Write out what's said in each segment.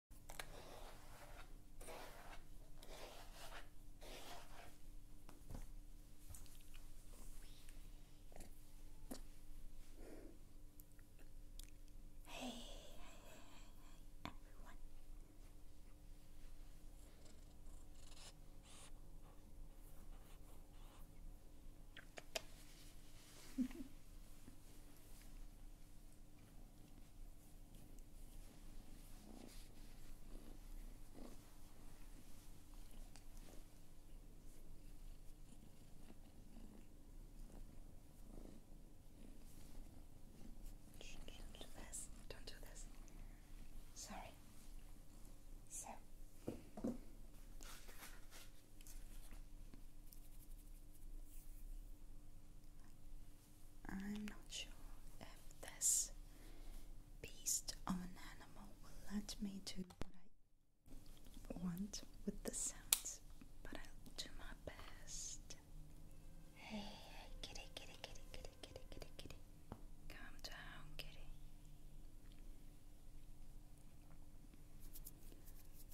Hey, hey, hey, hey, everyone. Shh, do Don't do this. Sorry. So. I'm not sure if this beast of an animal will let me do what I want with the sounds, but I'll do my best. Hey, kitty, kitty, kitty, kitty, kitty, kitty, kitty. Calm down, kitty.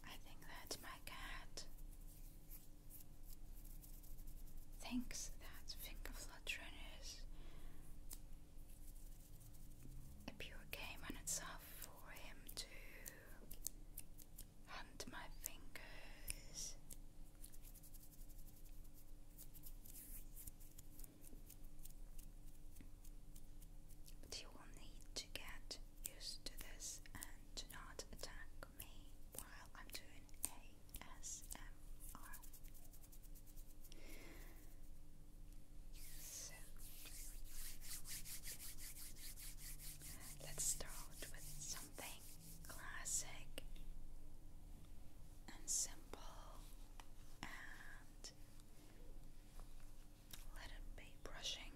I think that's my cat thinks that Fingerflutteriness a pure game on itself for him to hunt my fingers. But you will need to get used to this and not attack me while I'm doing ASMR. So, let's start with something classic and simple and let it be brushing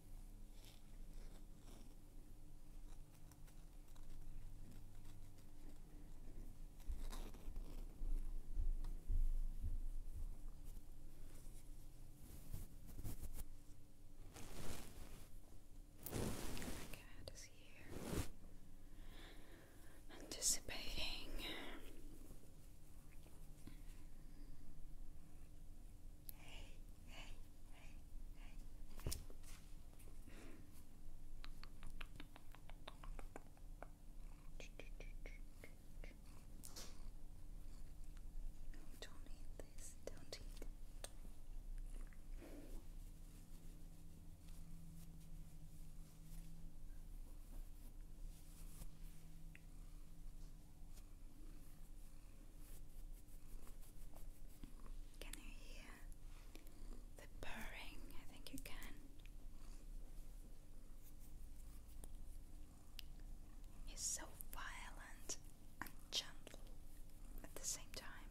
cat is here anticipating don't eat this. Don't eat. Can you hear the purring? I think you can. He's so violent and gentle at the same time.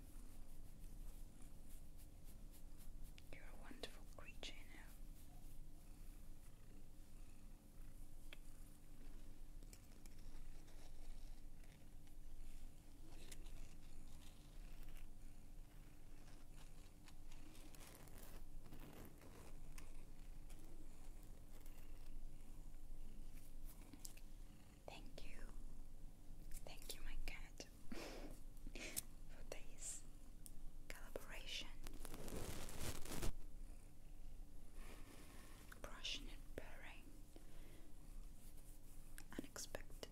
You're a wonderful creature, you know. Thank you, thank you, my cat, for this collaboration brushing and purring, unexpected purring.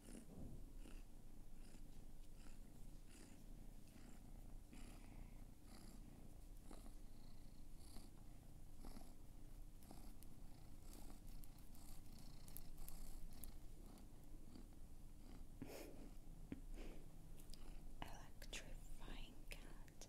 Electrifying cat.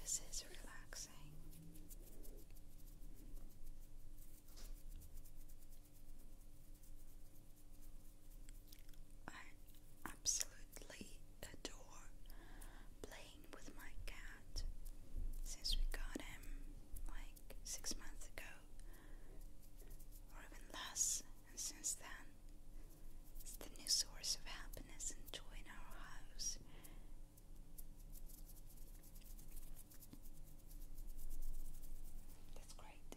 This is relaxing. I absolutely adore playing with my cat since we got him like six months ago, or even less and since then, it's the new source of happiness and joy in our house. That's great.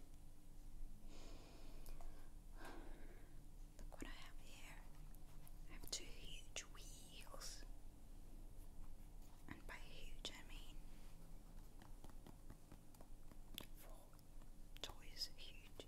Look what I have here. I have two huge wheels. And by huge I mean four toys huge.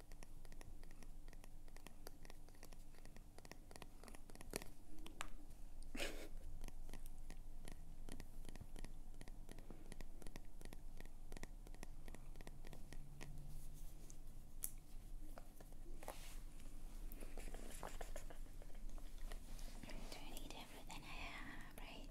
I'm trying to eat everything I have, right?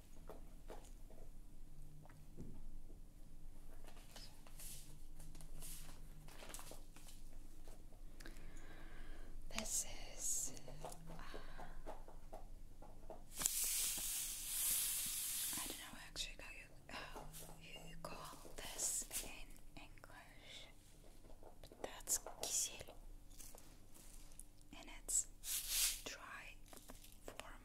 This is uh, I don't know actually how you call this in English, that's kisiel, and it's dry form.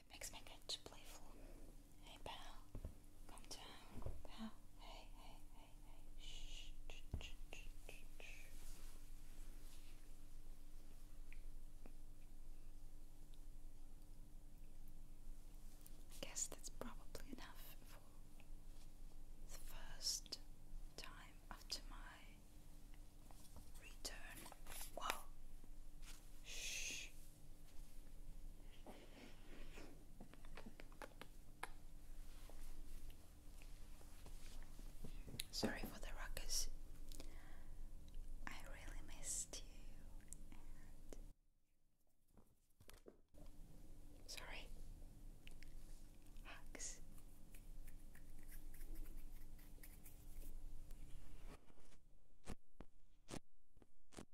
That makes my catch playful. Hey pal. Calm down. Now. Hey, hey, hey, hey. Shh, shh, shh, shh, shh, I guess that's probably enough for the first time after my return. Wow. Shh. Sorry for the ruckus. I really missed you. And Sorry. Hugs. Bye bye.